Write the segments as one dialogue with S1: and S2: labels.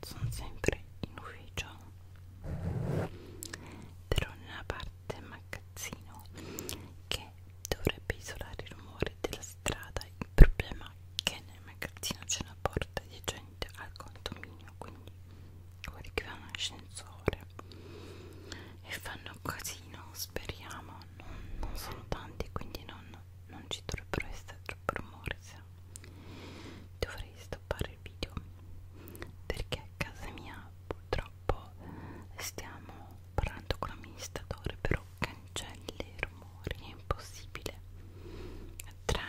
S1: sono sempre in ufficio però nella parte magazzino che dovrebbe isolare i rumori della strada il problema è che nel magazzino c'è una porta adiacente al condominio quindi quelli che vanno ascensore e fanno casino speriamo non, non sono tanti quindi non, non ci dovrebbero essere troppo rumori se dovrei stoppare fare il video perché a casa mia purtroppo stiamo parlando con l'amministratore però cancelli i rumori è impossibile tra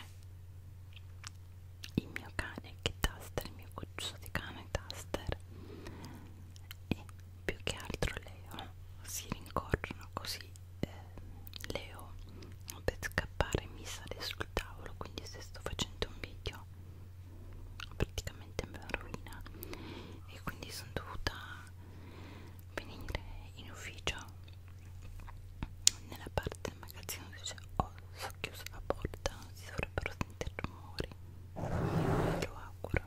S1: il mio cane che taster il mio cucciolo di cane taster e più che altro Leo si rincorrono così eh, Leo per scappare mi sale sul tavolo quindi se sto facendo un video praticamente me la rovina e quindi sono dovuta venire in ufficio nella parte del magazzino dove c'è oh, so chiusa la porta non si dovrebbero sentire rumori me lo auguro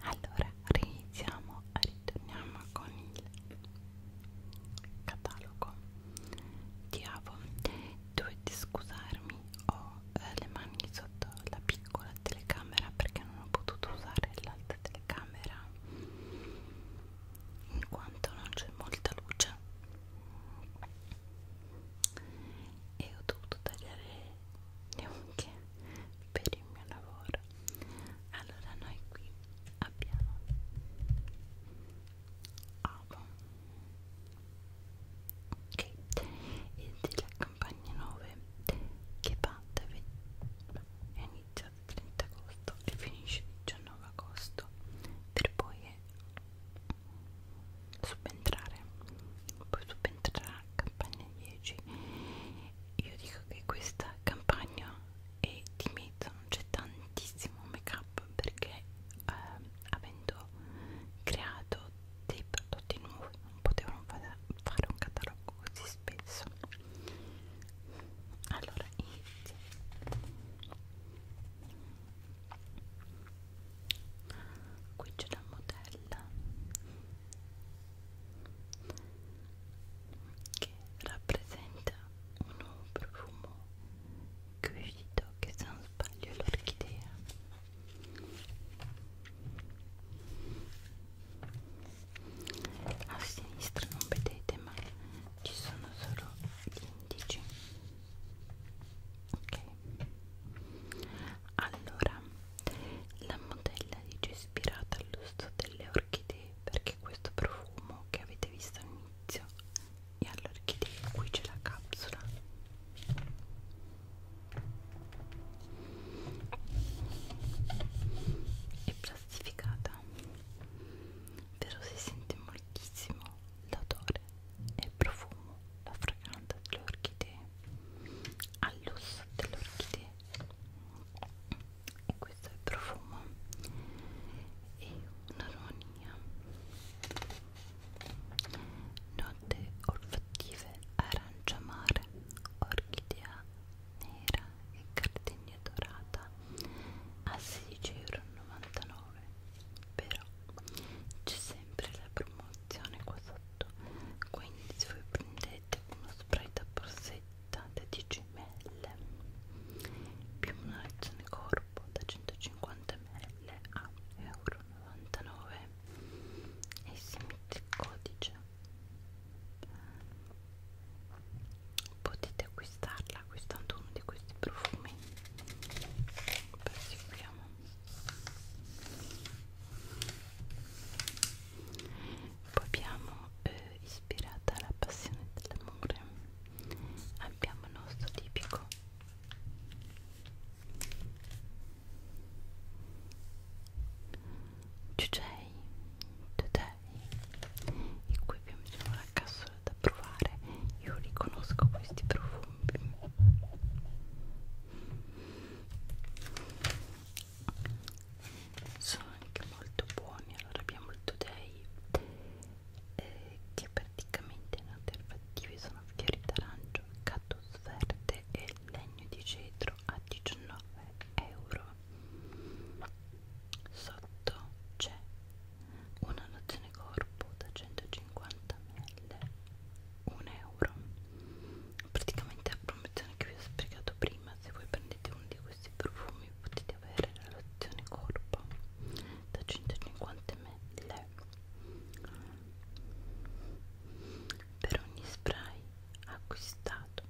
S1: allora riniziamo ritorniamo con il catalogo Diavo, dovetti scusarmi, ho eh, le mani sotto la piccola telecamera perché non ho potuto usare l'altra telecamera in quanto non c'è molta luce e ho dovuto tagliare le unghie per il mio lavoro allora noi qui abbiamo amo ok e della campagna 9 che parte è iniziata il 30 agosto e finisce il 19 agosto per poi subentrare poi subentrerà campagna 10 io dico che questa campagna e di mezzo non c'è tantissimo make up perché eh, avendo creato dei prodotti nuovi non potevano fare, fare un catalogo così spesso allora inizio qui c'è la modella che rappresenta un profumo che vi do che se non sbaglio l'orchidea a sinistra non vedete ma ci sono solo gli indici ok allora la modella dice ispirata all'uso delle orchidee perché questo profumo che avete visto all'inizio e all'orchidea qui c'è la capsula è plastificata però si sente moltissimo l'odore e il profumo la fragranza delle orchidee all'osso delle orchidee e questo è il profumo e un aroni Spagna note olfattive aranciamare, orchidea nera e cardegna dorata a 16,99€ però c'è sempre la promozione qua sotto quindi se voi prendete uno spray da borsetta da 10 ml più una lezione corpo da 150 ml a euro 99 e si mette il codice potete acquistarla acquistando uno di questi profumi proseguiamo poi abbiamo eh, ispirata alla passione dell'amore abbiamo il nostro tipico Giugiai in cui abbiamo solo la cassola da provare io riconosco questi profumi sono anche molto buoni allora abbiamo il Today eh, che praticamente in alternative sono fiori d'arancio, cactus verde e legno di cedro a 19 euro. Sotto c'è una nozione corpo da 150 ml, 1 euro. Praticamente la promozione che vi ho spiegato prima, se voi prendete uno di questi profumi potete avere la lozione corpo da 150 ml per ogni spray acquistato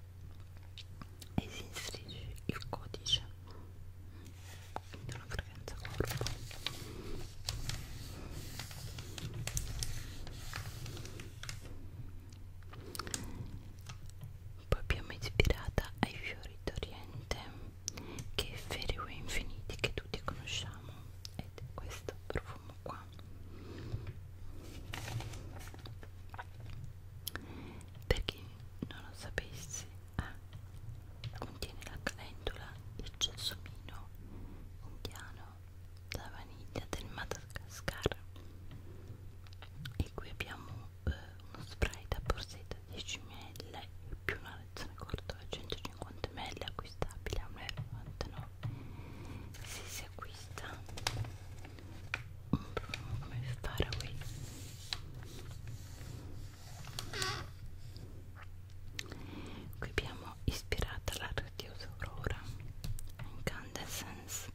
S1: e si inserisce il codice quindi una fragranza corpo poi abbiamo ispirata ai fiori d'oriente che è Feriway Infiniti che tutti conosciamo ed è questo profumo qua per chi non lo sapesse ah, contiene la calendula, il gelsomino indiano, la vaniglia del Madagascar e qui abbiamo eh, uno spray da borsetta 10 ml più una versione corta da 150 ml acquistabile a 1,99 se si acquista un profumo come Faraway qui abbiamo ispirata alla radiosa aurora incandescence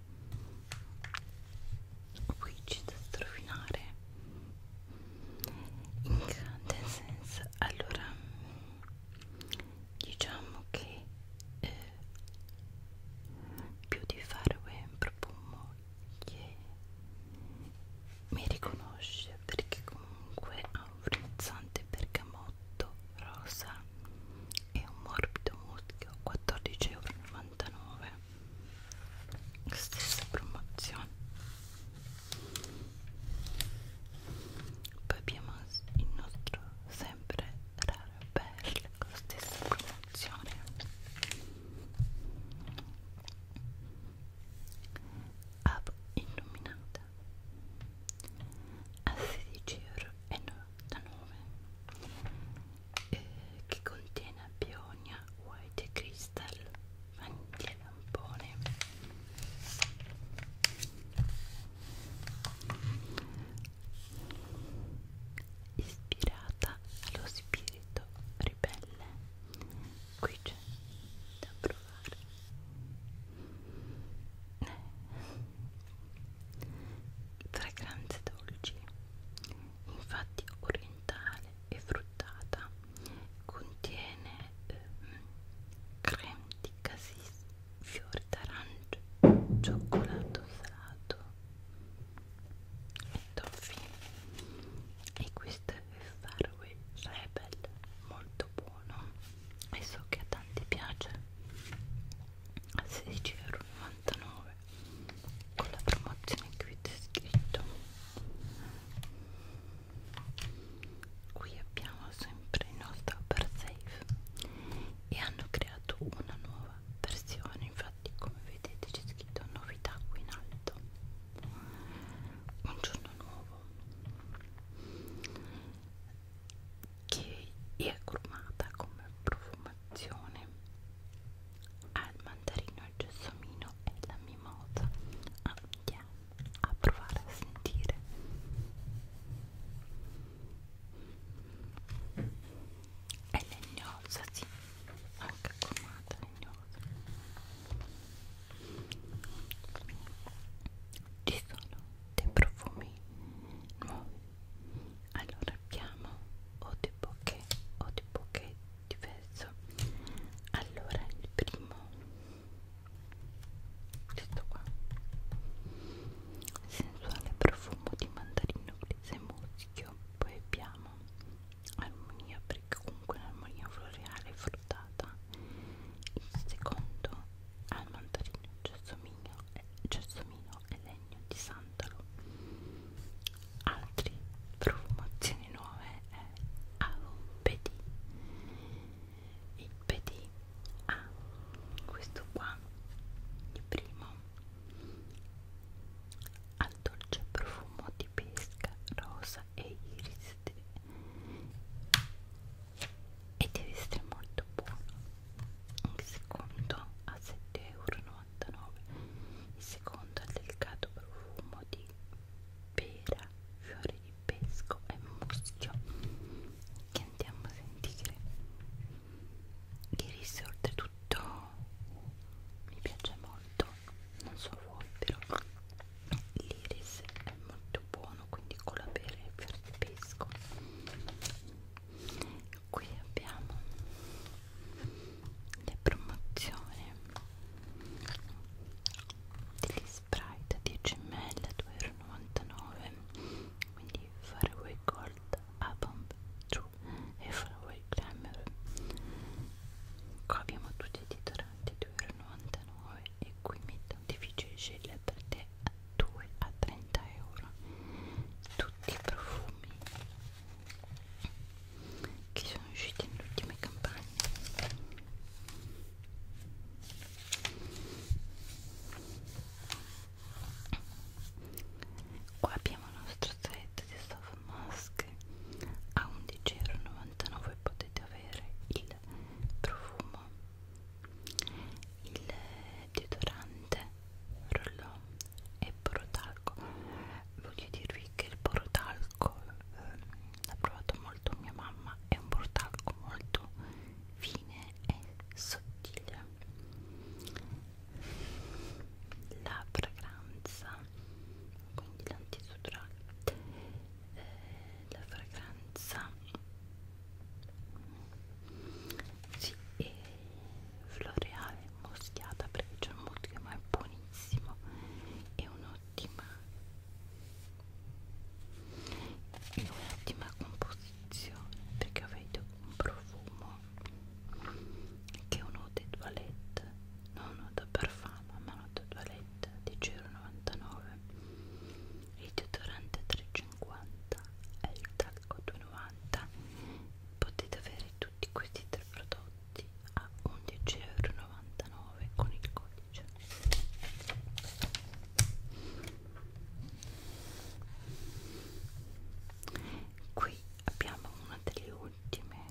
S1: qui c'è da strofinare incandescenza allora diciamo che eh, più di fare un profumo che mi riconosce perché comunque ha un frizzante bergamotto rosa e un morbido muschio 14,99 euro stessa promozione poi abbiamo il nostro sempre raro perle con la stessa promozione app illuminata a 16,99 euro eh, che contiene Pionia White Crystal anche tampone ispirata allo spirito ribelle qui c'è da provare fragranze dolci infatti orientale e fruttata contiene ehm, creme di casis, fiori d'arancio, cioccolato salato e toffee e questo è il Faraway Rebel, molto buono e so che a tanti piace a 16,99€ con la promozione qui descritto Qui abbiamo sempre il nostro Safe e hanno creato una nuova versione, infatti come vedete c'è scritto novità qui in alto. Un giorno nuovo che è gourmata come profumazione al mandarino, al gelsomino e alla mimosa. Ah, di andiamo a provare a sentire è legnosa, sì anche comata legnosa ci sono dei profumi nuovi allora abbiamo o di bouquet o di bouquet diverso allora il primo questo qua sensuale profumo di mandarino e muschio poi abbiamo armonia perché comunque l'armonia floreale fruttata il secondo al mandarino gelsomino e, eh, gelsomino e legno di santalo altri profumazioni versioni nuove è eh, AOPD il PD ha ah, questo qua il primo al dolce profumo di pesca rosa e iris e deve essere molto buono il secondo a 7,99 euro il secondo è il delicato profumo di pera, fiori di pesco e muschio che andiamo a sentire di risse oltretutto mi piace molto non so voi però l'iris è molto buono quindi con la pera e il fiore di pesco qui abbiamo le promozioni degli sprite 10 ml 2,99 quindi faraway gold abomb true e faraway glamour qua abbiamo tutti i titolanti 2,99 e qui metto difficile scegliere per te a 2 a 30 euro tutti i profumi che sono usciti nelle ultime campagne qua abbiamo il nostro set di Soft Mask a 11,99€ e potete avere il profumo il deodorante rollon e porotalco voglio dirvi che il porotalco Prosecco ehm, l'ha provato molto mia mamma, è un portacco molto fine e sottile. La fragranza, quindi l'antisudorale, eh, la fragranza sì, è floreale, moschiata perché c'è un muschio ma è buonissimo, è un'ottima in un'ottima composizione perché avete un profumo che è un eau de toilette non eau de parfum ma eau de toilette di 0,99 il deodorante 3,50 e il talco 2,90 potete avere tutti questi tre prodotti a 11,99€ con il codice qui abbiamo una delle ultime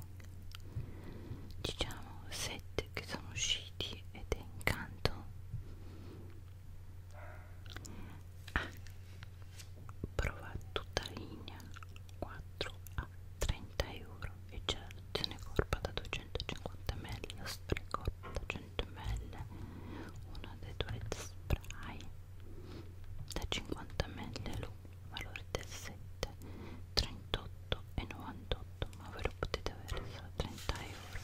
S1: diciamo set che sono usciti ed è incanto ah, prova tutta la linea 4 a 30 euro Eccelazione corpa da 250 ml, spray corpa da 100 ml, una dei due spray da 50 ml, valore del 7, 38,98, ma ve lo potete avere solo 30 euro.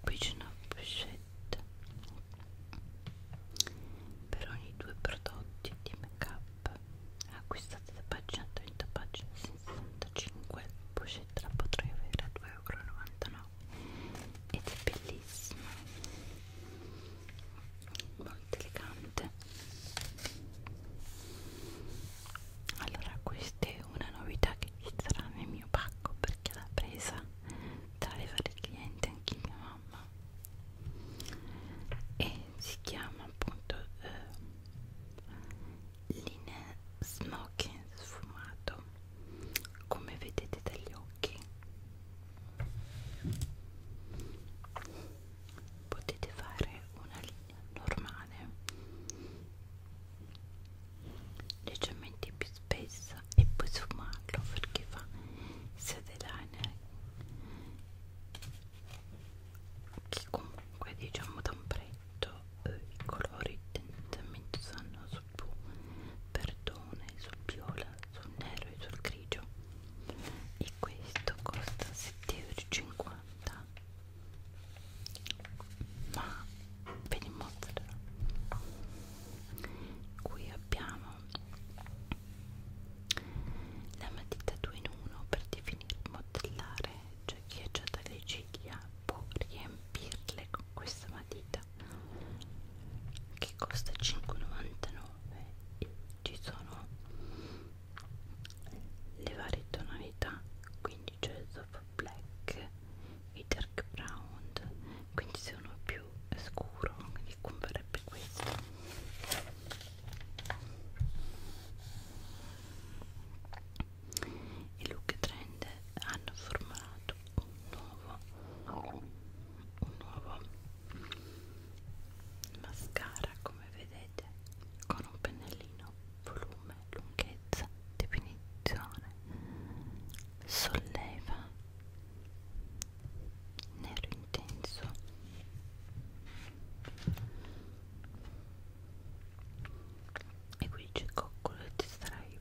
S1: Qui c'è una pochette per ogni due prodotti di make up app acquistate da pagina 30 pagina 65 pochette la potrei avere a 2,99 euro ed è bellissima molto elegante allora questa è una novità che ci sarà nel mio pacco perché l'ha presa tra le varie clienti anche mia mamma e si chiama appunto eh, linea smoking sfumato come vedete dagli occhi potete fare una linea normale leggermente più spessa e poi sfumarlo perché fa sia dell'aina che comunque diciamo da un pretto eh, i colori tendenzialmente sono sul blu perdone, sul viola, sul nero e sul grigio e questo costa 7,50 ma ve li mostrerò qui abbiamo la matita 2 in 1 per definire modellare, cioè chi è già dalle ciglia può riempirle con questa matita che costa 5,99 e ci sono le varie tonalità, quindi c'è il soft black, il dark brown, quindi se uno è più scuro quindi converrebbe questo i look trend hanno formulato un nuovo un nuovo mascara come vedete con un pennellino volume lunghezza definizione solleva nero intenso e qui dice coccolo e ti sarai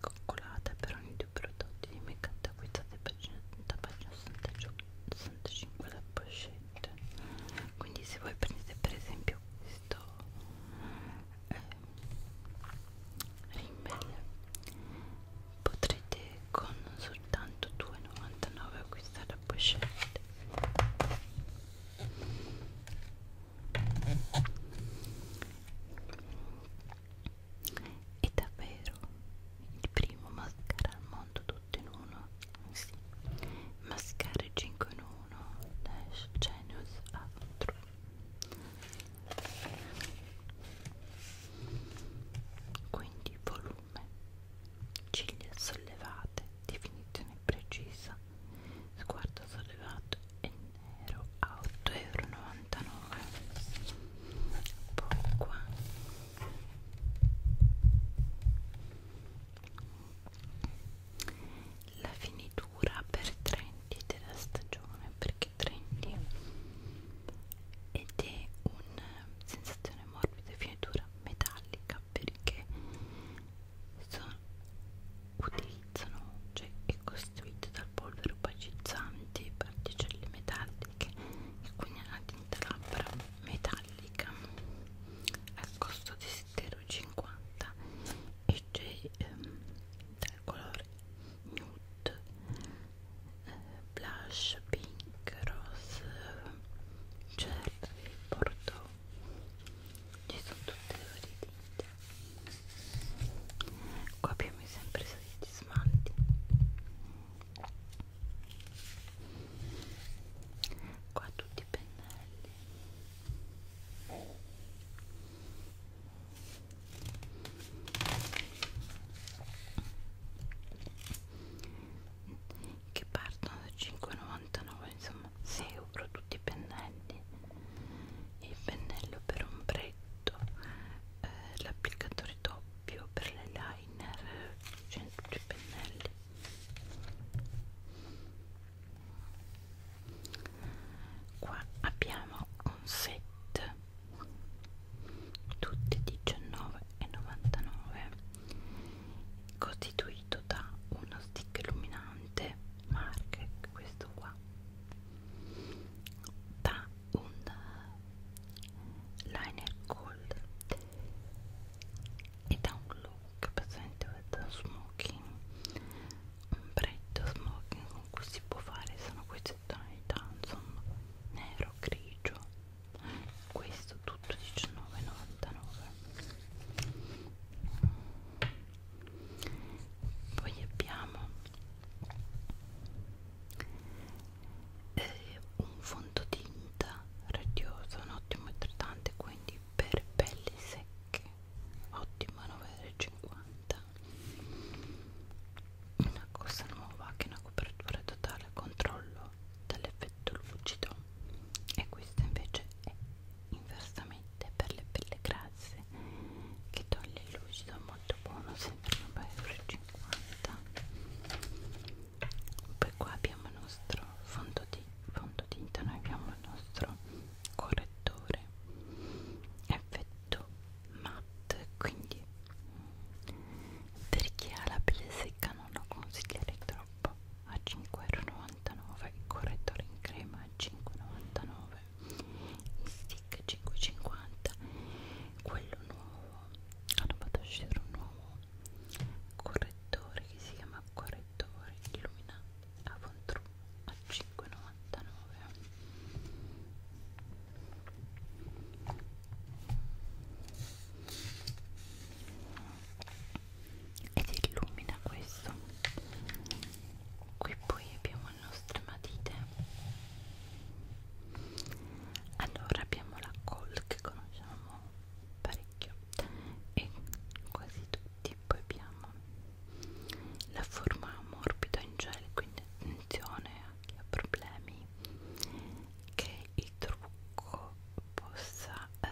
S1: coccolata per ogni due prodotti di make up da acquistate da pagina 65 la pochette quindi se voi prendete per esempio questo eh, rimmel potrete con soltanto 2,99 acquistare a pochette è davvero il primo mascara al mondo tutto in uno sì. mascara 5 in 1 Lash Genius Outro quindi volume forme, ciglia sollevate, definizione precisa, sguardo sollevato e nero a 8,99 euro. Poi qua la finitura per trendy della stagione perché trendy ed è una sensazione di finitura metallica perché sono, utilizzano cioè è costruito dal polvere opacizzante particelle metalliche e quindi è una tinta labbra metallica al costo di 7,50 e c'è ehm, dal colore nude blush pink, rose, cherry, bordeaux ci sono tutte le varie tinte qua abbiamo sempre 16 smalti qua tutti i pennelli che partono da 5,99 insomma 6 euro tutti i pennelli il pennello per ombretto eh, l'applicatore doppio per le liner c'è cioè in tutti i pennelli qua abbiamo un set tutte 19,99 costituito da uno stick illuminante marca questo qua da un liner gold e da un look presente da smoking un bretto smoking con cui si può fare sono queste tonalità insomma nero grigio questo tutto 19,99 poi abbiamo eh, un fondotinta radioso un ottimo idratante quindi per pelli secche ottimo 9,50 una cosa nuova che è una copertura totale controllo dall'effetto lucido e questa invece è inversamente per le pelle grasse che toglie il lucido molto buono sempre 9,50€ poi qua abbiamo il nostro fondotinta noi abbiamo il nostro correttore effetto matte quindi per chi ha la pelle secca non lo consiglierei troppo a 5,99€ il correttore in crema a 5,99€ il stick 5,50 quello nuovo hanno fatto uscire un nuovo correttore che si chiama correttore illumina Avon True a 5,99 ed illumina questo qui poi abbiamo le nostre matite allora abbiamo la col che conosciamo parecchio e quasi tutti poi abbiamo la forma morbida in gel quindi attenzione a chi ha problemi domani che il trucco possa eh,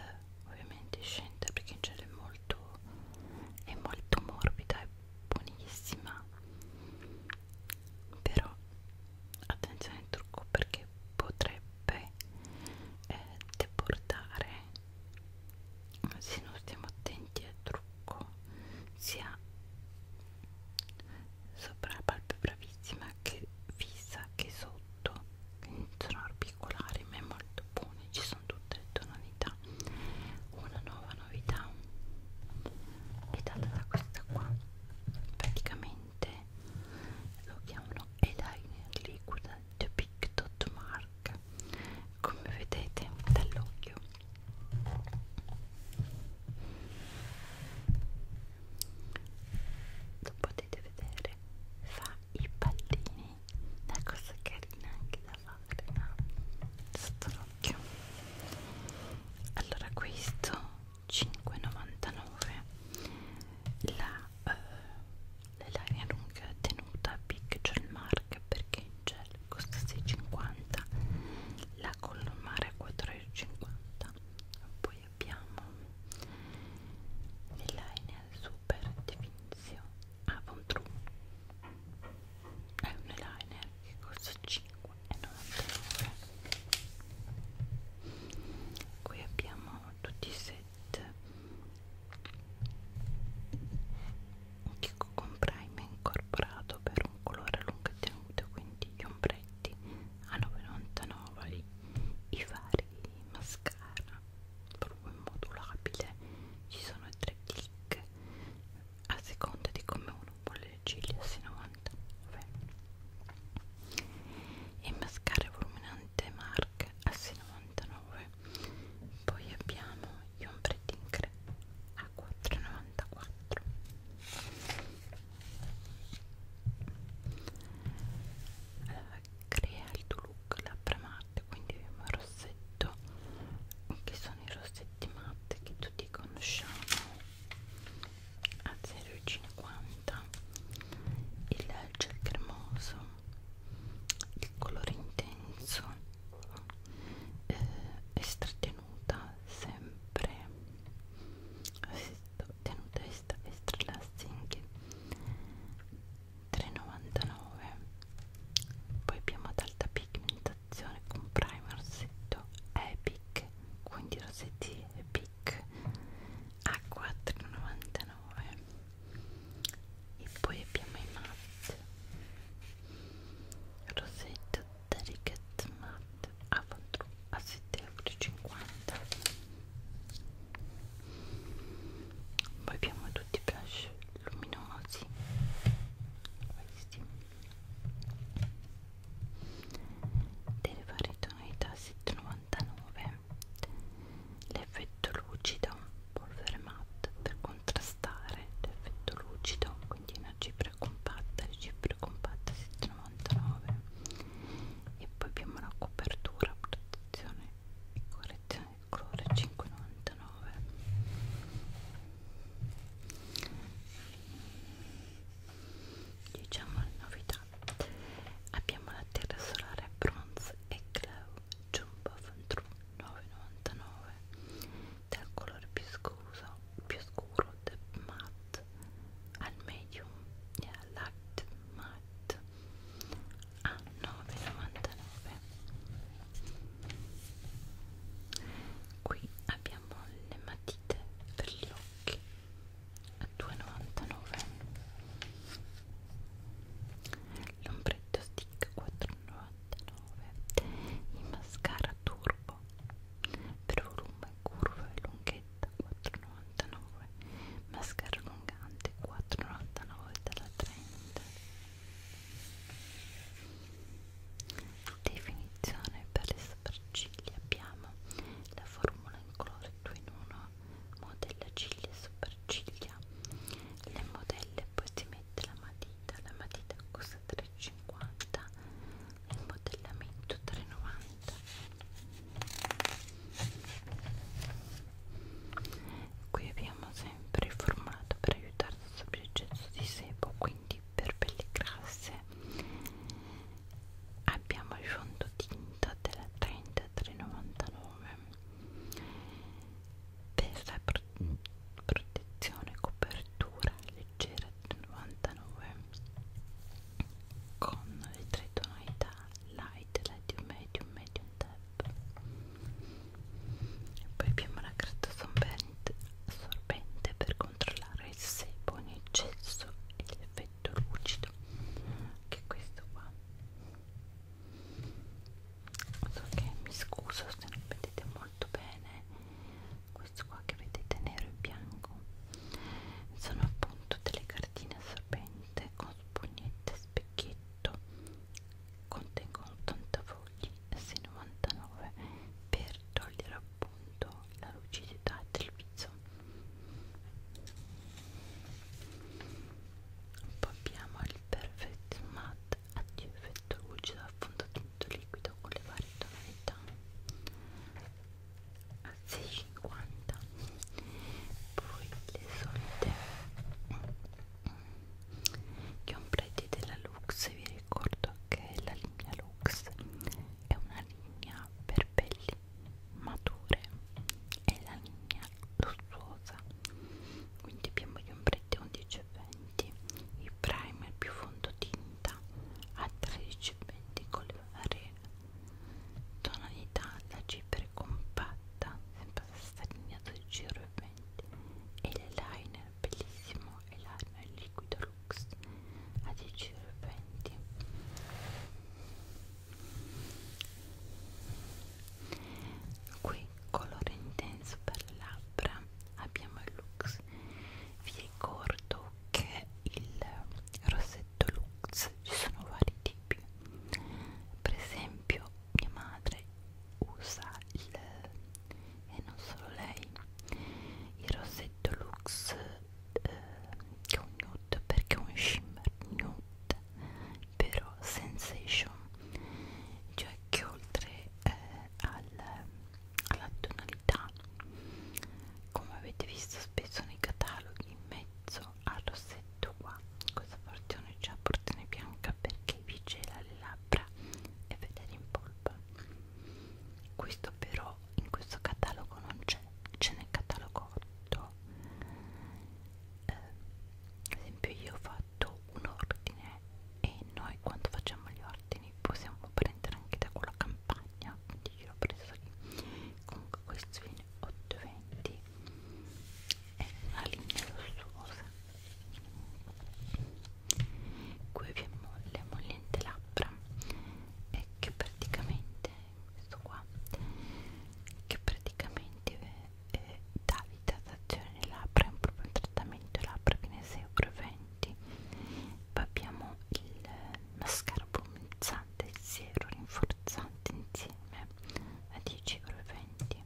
S1: ovviamente scendere perché in genere è molto, è molto morbida e buonissima però attenzione al trucco perché potrebbe eh, deportare se non stiamo attenti al trucco sia sopra la palpebra bravissima che fissa che sotto quindi sono articolari ma è molto buono ci sono tutte le tonalità una nuova novità è data da questa qua praticamente lo chiamano eyeliner liquida The Big Dot Mark come vedete dall'occhio lo potete vedere fa i pallini una cosa carina anche da fare no? sotto l'occhio allora questo 5,99 la uh, lunga tenuta Big Gel Mark perché in gel costa 6,50 la colomare 4,50 poi abbiamo l'eyeliner super definizio Avon ah, True è un eyeliner che costa 5,99 qui abbiamo tutti i set che comprai mi ha incorporato per un colore a lunga tenuta quindi gli ombre prodotti a 9,99 i vari mascara proprio immodulabile ci sono tre click a seconda di come uno vuole le ciglia si 99 e mascara voluminante marca a 99 poi abbiamo gli ombretti in crema a 4,94 allora, crea il tuo look labbra matte quindi abbiamo il rossetto che sono i rossetti matte che tutti conosciamo a 0,50 il gel cremoso il colore intenso eh, è strattenuta sempre tenuta extra lasting 3,99 poi abbiamo ad alta pigmentazione con primer rossetto epic quindi rossetti epic a 4,99 e poi abbiamo i matte rossetto delicate matte a 7,99 1,50 poi abbiamo tutti i blush luminosi questi delle varie tonalità 799 l'effetto lucido polvere matte per contrastare l'effetto lucido quindi una cipria compatta le cipria compatta 799 e poi abbiamo la copertura protezione e correzione del colore 5,99 diciamo le novità abbiamo la terra solare bronze e glow jumbo Ventru 9,99 del colore più scuso più scuro del matte al medium e al light matte a 9,99 qui abbiamo le matite per gli occhi a 2,99 l'ombretto stick 4,99 il mascara turbo per volume, curve e lunghezza palette 4,99 mascara allungante 4,99 dalla Trend definizione per le sopracciglia abbiamo la formula in colore 2 in 1 modella ciglia e sopracciglia le modelle poi si mette la matita la matita costa 3,50 il modellamento 3,90 qui abbiamo sempre il formato per aiutare a assorbire il gesso di sebo quindi per pelle grasse abbiamo il fondotinta della 33,99 per la pro protezione e copertura leggera 99 con le tre tonalità light, medium, medium, medium tap e poi abbiamo la carta assorbente, assorbente per controllare il sebo in eccesso e l'effetto lucido che è questo qua so che mi scuso se non vedete molto bene questo qua che vedete nero e bianco sono appunto delle cartine assorbente con spugnette e specchietto contengono 80 fogli S99 per togliere appunto la lucidità del viso poi abbiamo il Perfect Matte addio effetto lucido affondamento liquido con le varie tonalità a 6,50 poi le solite mm, ombrelli della Lux vi ricordo che la linea Lux è una linea per pelli mature è la linea lussuosa quindi abbiamo gli ombretti 11 e 20 il primer più fondotinta a 13 e 20 con le varie tonalità la cipria è compatta sempre la stessa linea 12 euro e l'eyeliner bellissimo eyeliner liquido lux a 10 euro qui colore intenso per le labbra abbiamo il lux vi ricordo che il rossetto lux ci sono vari tipi più per esempio mia madre usa il e non solo lei il rossetto Lux eh, che è un nude perché è un shimmer nude però sensation cioè che oltre eh, al, alla tonalità come avete visto spesso nei cataloghi in mezzo questo al rossetto qua questa porzione c'è la porzione bianca perché vi gela le labbra e ve le rimpolpa questo però in questo catalogo non c'è c'è nel catalogo 8 eh, ad esempio io ho fatto un ordine e noi quando facciamo gli ordini possiamo prendere anche da quella campagna quindi io l'ho preso lì comunque questo viene 8,20 è una linea lussuosa qui vi è molle, mollente labbra e che praticamente questo qua che praticamente eh, dà idratazione alle labbra è un proprio un trattamento labbra che ne 6,20 poi abbiamo il mascara bronzante idratanti 0 rinforzanti insieme a 10,20 euro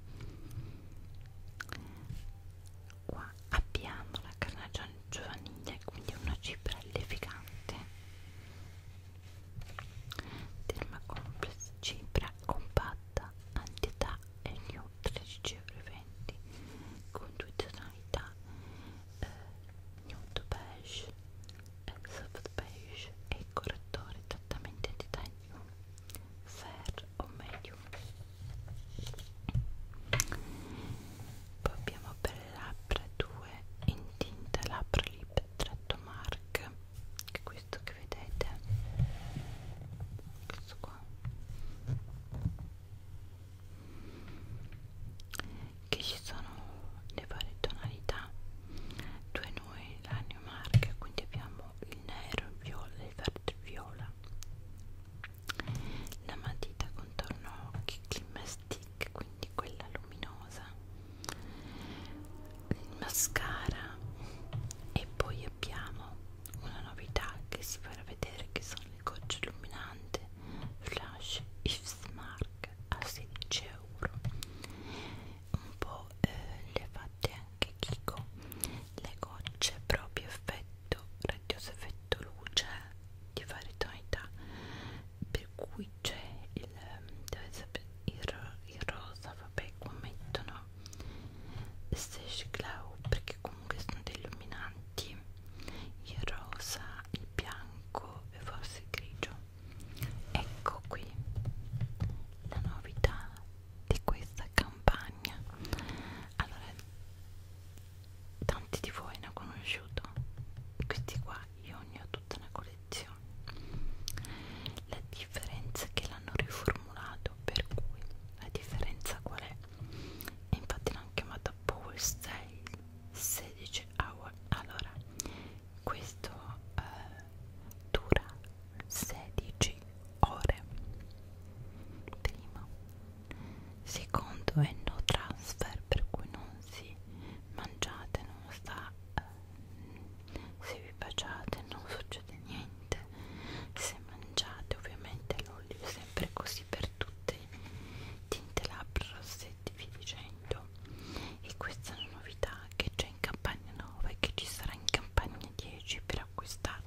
S1: qua abbiamo la carnagione giovanile quindi una cipria levigante Derma Complex cipria compatta antietà e new 13,20 euro con due tonalità eh, nude beige and soft beige e i correttori esattamente di taglio fair o medium poi abbiamo per le labbra due in tinta labbra lip tratto mark che è questo che vedete questo qua che ci sono le varie tonalità due noi la New Mark, quindi abbiamo il nero, il viola, il verde, il viola la matita contorno occhi, Climma Stick, quindi quella luminosa il mascara e poi abbiamo una novità che si farà vedere che sono le gocce illuminanti Flash Ifsmark a 16 euro un po' eh, le ha fatte anche Kiko le gocce proprio effetto radioso effetto luce di varie tonalità per cui c'è il, il, il rosa vabbè qua mettono stage glow perché comunque sono dei illuminanti il rosa, il bianco e forse il grigio ecco qui la novità di questa campagna allora tanti di voi ne ho conosciuto questi qua io ne ho tutta una collezione la differenza è che l'hanno riformulato per cui la differenza qual è? infatti l'hanno chiamata Power Style 16 Hour allora questo eh, dura 16 ore primo secondo è no transfer per cui non si mangiate non sta eh, se vi baciate non succede niente se mangiate ovviamente l'olio è sempre così per tutte tinte labbra rossetti vi dicendo e questa è una novità che c'è in campagna 9 che ci sarà in campagna 10 per acquistarlo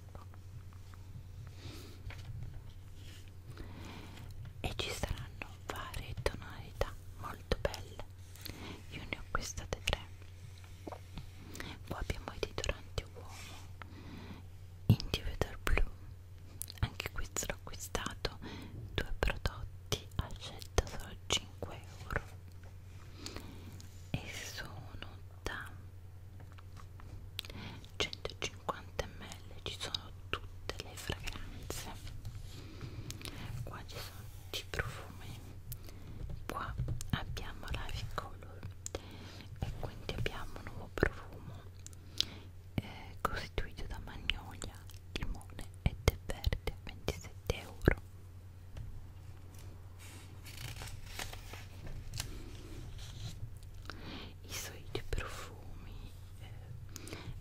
S1: e ci saranno varie tonalità molto belle io ne ho acquistate tre qua abbiamo i deodoranti uomo individual blu anche questo l'ho acquistato due prodotti a scelta solo 5 euro e sono da 150 ml ci sono tutte le fragranze qua ci sono tutti i profumi qua abbiamo la color e quindi abbiamo un nuovo profumo eh, costituito da magnolia limone e tè verde 27 euro i soliti profumi eh,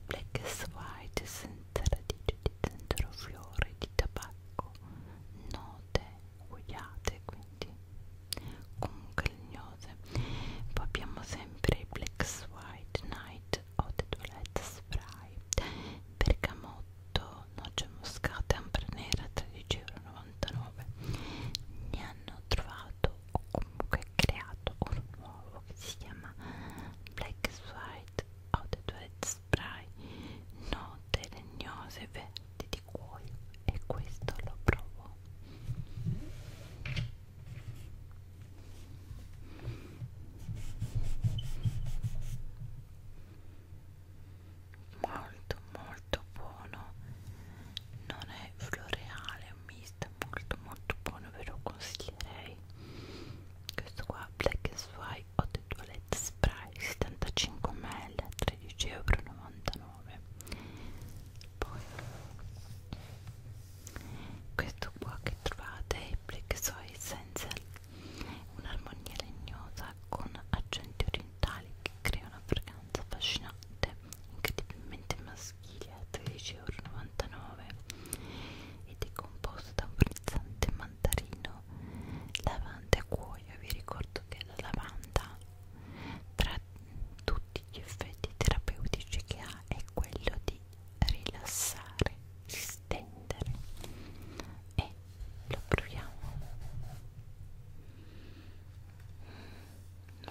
S1: black and white senza radice di centrofiore di tabacco note guiate quindi comunque legnose poi abbiamo sempre i black and white night o the toilette spray bergamotto 8 noce moscata e ampra nera 13,99€ ne hanno trovato o comunque creato uno nuovo che si chiama Black White Outed Red Spray note legnose verdi di cuoio e questo lo provo molto molto buono non è floreale è un misto molto molto buono ve lo consiglierei questo qua black and white hot toilet spray 75 ml 13,99 euro poi questo qua che trovate è black soy essential Un'armonia legnosa con accenti orientali che crea una fragranza affascinante, incredibilmente maschile a 13,99€ ed è composta da un frizzante mandarino, lavanda e cuoio. Vi ricordo che la lavanda, tra tutti gli effetti terapeutici che ha, è quello di rilassare il distendere e lo proviamo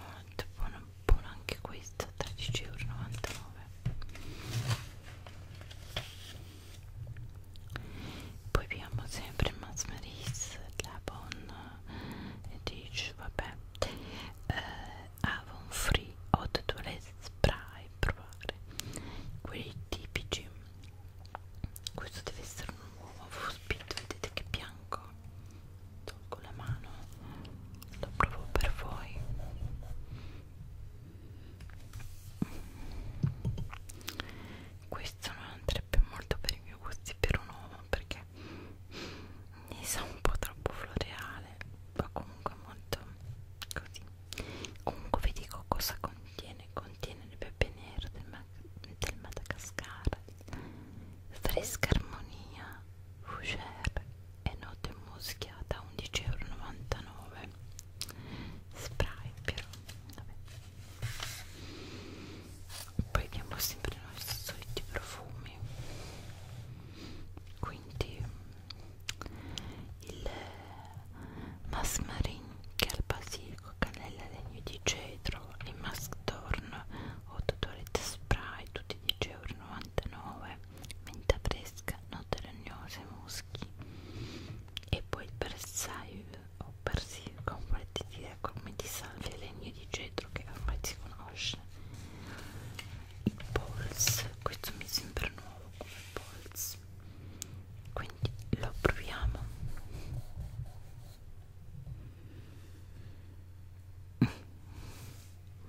S1: molto buono, buono anche questo 13,99€ poi abbiamo sempre Max Maris la Bon e dice vabbè eh, Avon Free Hot Toilet Spray provare quelli tipici questo deve essere un uovo fospito vedete che bianco tolgo la mano lo provo per voi questo non andrebbe molto per i miei gusti per un uovo perché mi sa un po' troppo floreale ma comunque molto così comunque vi dico cosa contiene contiene le pepe nere del, Ma del Madagascar fresca armonia fougère e note muschiata a 11,99€ spray però vabbè poi abbiamo sempre i nostri soliti profumi quindi il Masmarin, Calbasico, Cannella Legno di Cetro e Masktorn o Totoret Spray, tutti 10,99€, menta fresca, note legnose, muschi e poi il bersaglio o persico con partitire come di salvia legno di cetro che ormai si conosce i polls questo mi sembra nuovo come polls quindi lo proviamo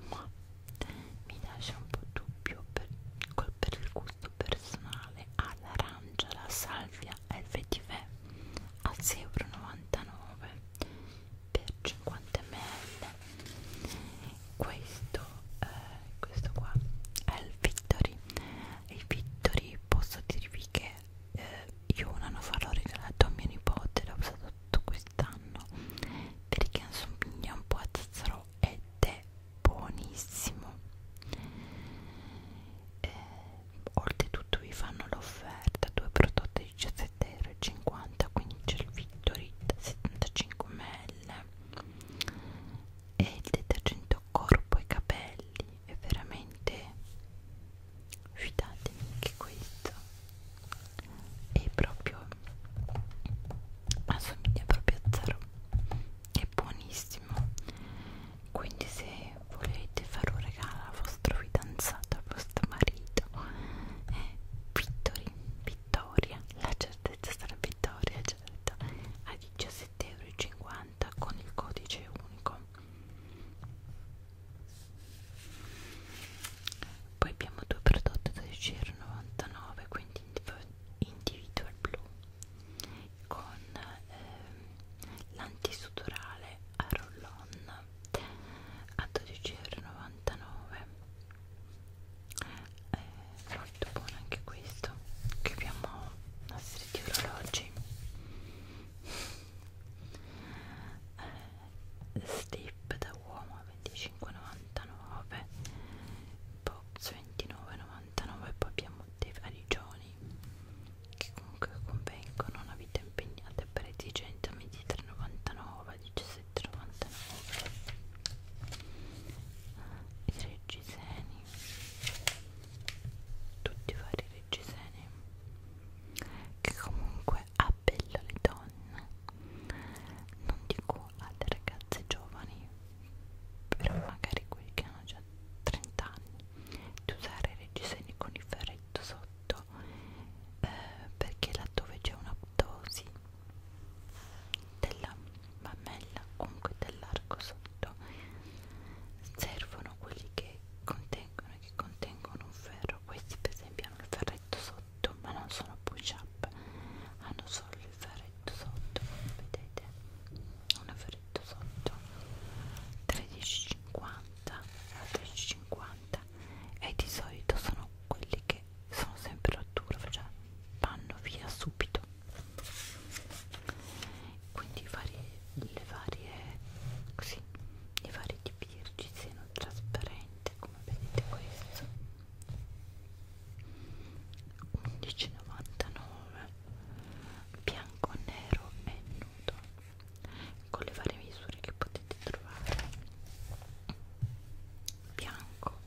S1: ma mi lascia un po' dubbio per, per il gusto personale all'arancia ah, la salvia LVTV a 6,99 euro per 50 ml questo, eh, questo qua è il Victory il Victory poi posso dirvi che eh, io un anno fa l'ho regalato a mio nipote, l'ho usato tutto quest'anno perché assomiglia un po' a zazzaro ed è buonissimo eh, oltretutto vi fanno l'offerta due prodotti 17,50€ quindi c'è il Victorit 75ml e il detergente corpo e capelli e veramente fidatemi che questo è proprio assomiglia proprio a zero è buonissimo quindi se volete fare un regalo al vostro fidanzato al vostro marito eh, Vittori, Vittoria la certezza sarà Vittoria certo a 17,50€ 80 con il codice unico poi abbiamo due prodotti da 10,99 quindi individual blu con eh, l'antisudorale a roll-on a 12,99 eh, molto buono anche questo che abbiamo nostri tutti gli orologi eh, Stip da uomo a 25,99 Box 29,99 Poi abbiamo dei valigioni Che comunque convengono una vita impegnata per esigenza 23,99 17,99 e reggiseni tutti i vari reggiseni che comunque appella le donne non dico alle ragazze giovani però magari quelli che hanno già 30 anni di usare i reggiseni con il ferretto sotto eh, perché laddove c'è un'aptosi della mammella comunque dell'arco sotto certo servono quelli che contengono che contengono un ferro questi per esempio hanno il ferretto sotto ma non sono push up hanno solo il ferretto sotto vedete un ferretto sotto 13,50 13,50 e di solito sono quelli che sono sempre rottura cioè vanno via subito quindi varie, le varie così i vari tipi di reggiseno trasparente come vedete questo 11,99 bianco nero e nudo con le varie misure che potete trovare bianco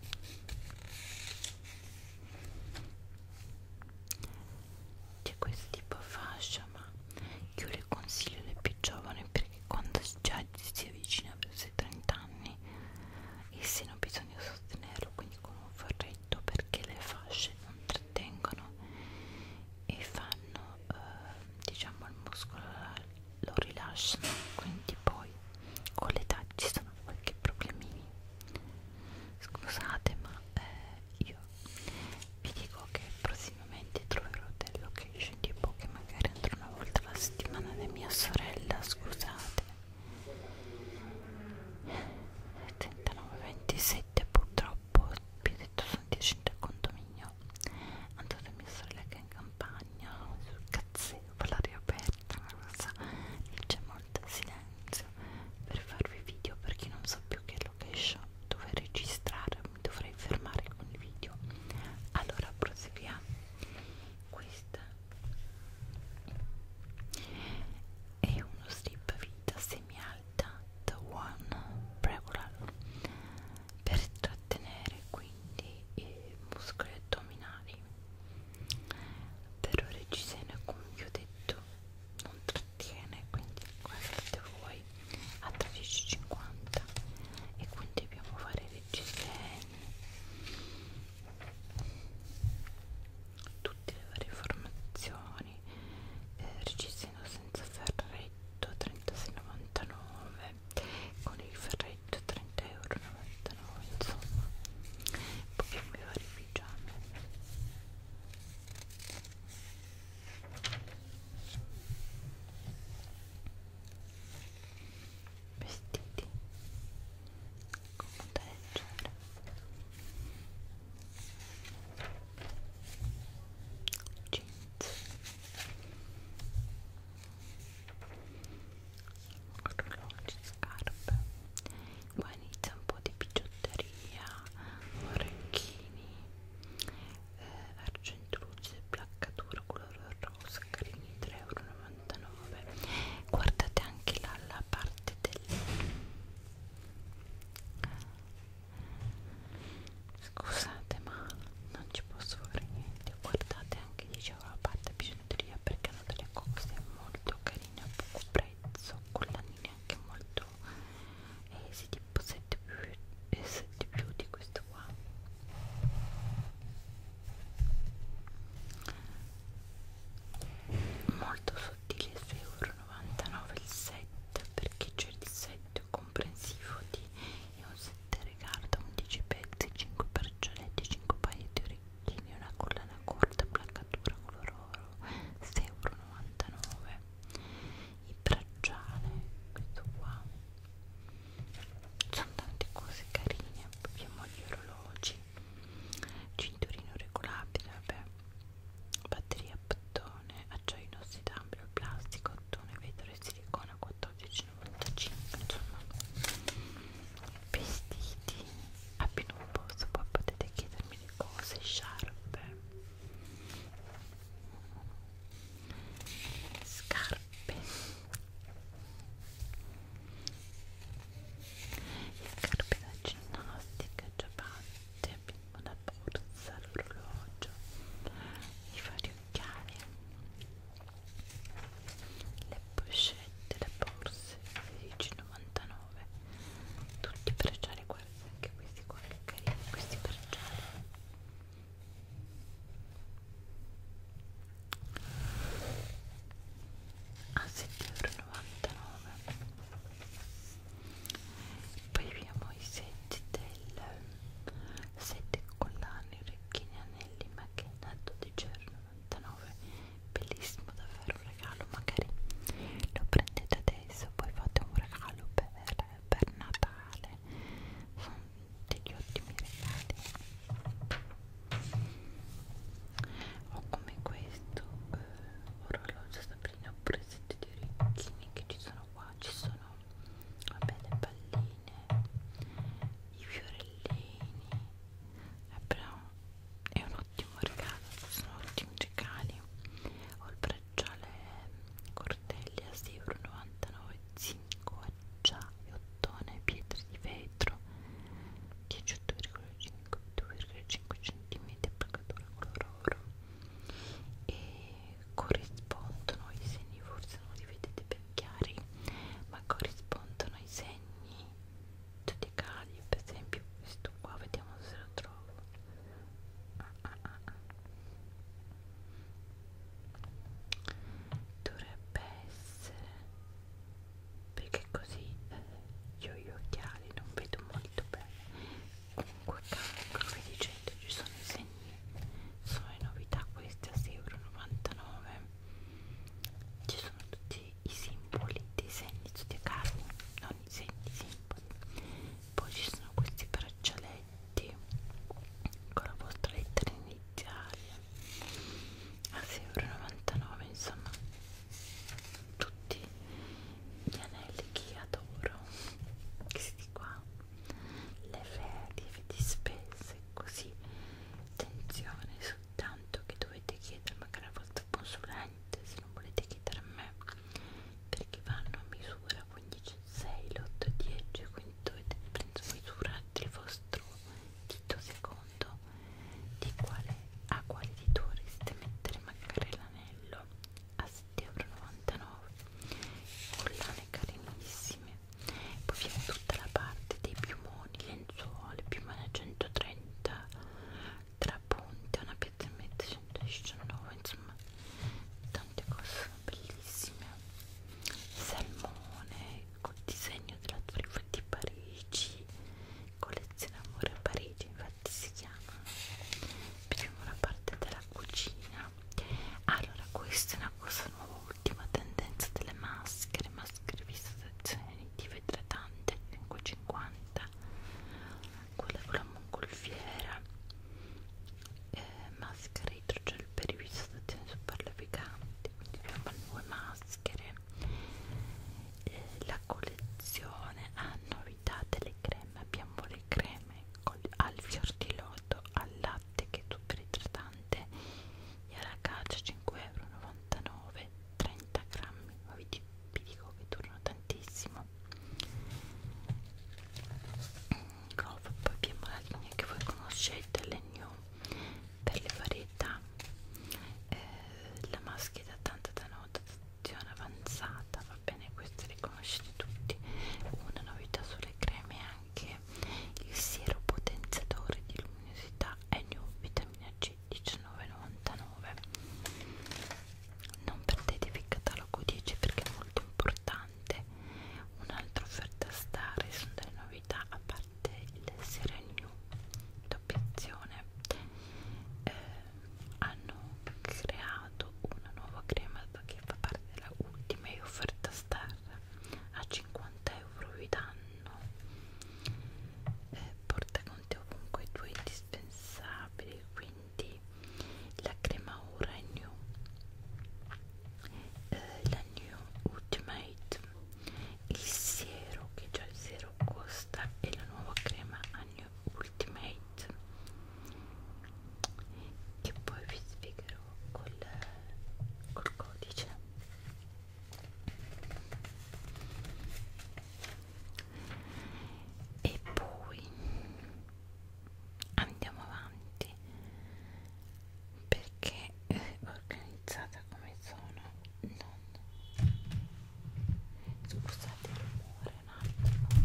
S1: c'è questo tipo fascia ma io le consiglio le più giovani perché quando già si avvicina verso i 30 anni il seno bisogna sostenerlo quindi con un forretto perché le fasce non trattengono e fanno eh, diciamo il muscolo lo rilasciano quindi poi con l'età ci sono qualche problemini Scusate, ma eh, io vi dico che prossimamente troverò delle location tipo boh che magari andrò una volta alla settimana di mia sorella. Scusate, 39,27 purtroppo. Vi ho detto sono 10 al condominio. Andò da mia sorella che è in campagna sul cazzeo, per l'aria aperta, una cosa. Diciamo morta, silenzio per farvi video perché non so più che location dove registrare, mi dovrei fermare con il video allora proseguiamo questa è uno strip vita semi alta da one regular per trattenere quindi i muscoli addominali però reggiseno come vi ho detto non trattenere sostiene quindi guardate voi a 13,50 e quindi dobbiamo fare reggileni tutte le varie formazioni eh, reggiseno senza ferretto 36,99 con il ferretto 30,99 euro insomma poi abbiamo i vari pigiami vestiti con molta leggera jeans orologi, scarpe poi inizia un po' di bigiotteria, orecchini, eh, argentruzze, placcatura color rosa, carini 3,99€. Guardate anche là la parte del scusate ma non ci posso fare niente guardate anche dicevo la parte bigiotteria perché hanno delle cose molto carine a poco prezzo collanine neanche molto eh, sì, tipo 7 più, eh, 7 più di questo qua molto sottile 6,99€ il set perché c'è il set comprensivo di e un set regarda 11 pezzi 5 braccialetti 5 paio di orecchini una collana corta placcatura color oro 6,99€ il bracciale questo qua sono tante cose carine abbiamo gli orologi cinturino regolabile vabbè batteria a bottone acciaio inossidabile plastico ottone vetro e silicona 14,95 insomma vestiti abbiano un posto poi potete chiedermi le cose sciarpe scarpe scarpe da ginnastica ciabatte abbiamo la borsa l'orologio i vari occhiali le pochette le borse 16,99 tutti i bracciali 49,99 anche questi qua che carini questi per giallo a 7,99 poi abbiamo i set del set collane orecchine anelli macchina 12,99 bellissimo davvero regalo magari lo prendete adesso poi fate un regalo per, per Natale sono degli ottimi regali o come questo eh, orologio sabrina ho preso di orecchini che ci sono qua ci sono vabbè le palline i fiorellini è, però, è uno ottimo regalo sono ottimi regali ho il bracciale corteglia 6,99 zinco acciaio ottone pietre di vetro 18,5 cm pagatura color oro e corrispondono i segni forse non li vedete ben chiari ma corrispondono ai segni zodiacali per esempio questo qua vediamo se lo trovo ah, ah, ah, ah. dovrebbe essere perché così eh, io gli occhiali non vedo molto bene comunque come dicendo ci sono i segni sono le novità queste a 6,99 euro ci sono tutti i simboli dei segni tutti a caro non i segni i simboli poi ci sono questi braccialetti con la vostra lettera iniziale a 6,99 insomma tutti gli anelli che adoro questi qua le ferie di spese così attenzione soltanto che dovete chiedere magari al vostro consulente ovviamente se non volete chiedere a me perché vanno a misura 15, 6, 8, 10 quindi dovete prendere misura del vostro dito secondo di quale, a quale dito vorreste mettere magari l'anello a 7,99€ collane carinissime poi viene tutta la parte dei piumoni, lenzuoli, piumone a 130 tre punti, una pietremetta 119, insomma tante cose bellissime salmone col disegno della truffa di Parigi collezione amore a Parigi infatti si chiama vediamo la parte della cucina allora questa è una cosa nuova ultima tendenza delle maschere maschere vista sezione di vedrete tante 550 quella con la mongolfiera eh, maschere idrogel per ivistazioni super leviganti quindi abbiamo due maschere eh, la collezione ha ah, novità delle creme abbiamo le creme col, al fior di loto al latte che è super idratante e alla calcia 5,99 euro 30 grammi, ma vi dico vi dico che durano tantissimo Grove poi abbiamo la linea che voi conoscete le new per le varietà eh, la maschera tanta da notazione avanzata va bene queste le conoscete tutti una novità sulle creme è anche il siero potenziatore di luminosità è new vitamina c 19,99 non perdetevi il catalogo 10 perché è molto importante un'altra offerta stare sono delle novità a parte il Serenio doppiazione eh, hanno creato una nuova crema che fa parte della ultima e offerta star a 50 euro vi danno eh, porta con te ovunque i tuoi indispensabili quindi di la crema ora new eh, la new ultimate il siero che già il siero costa e la nuova crema a new ultimate che poi vi spiegherò col, col codice e poi andiamo avanti perché è eh, organizzata come zona non scusate il rumore un attimo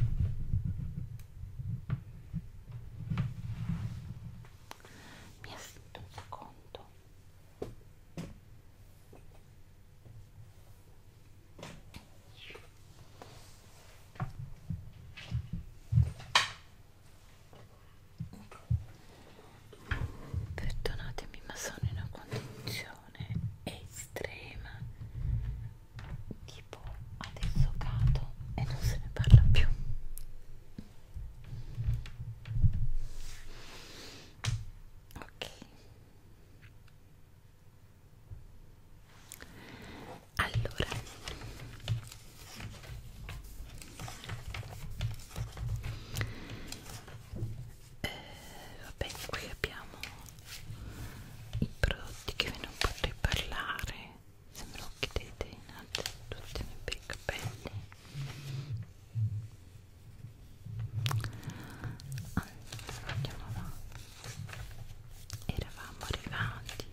S1: mi affitto un secondo Perdonatemi, ma sono in una condizione estrema. Tipo adesso cado e non se ne parla più. Ok allora eh, vabbè qui abbiamo i prodotti che ve ne potrei parlare se me lo chiedete innanzitutto per i capelli allora andiamo avanti eravamo arrivati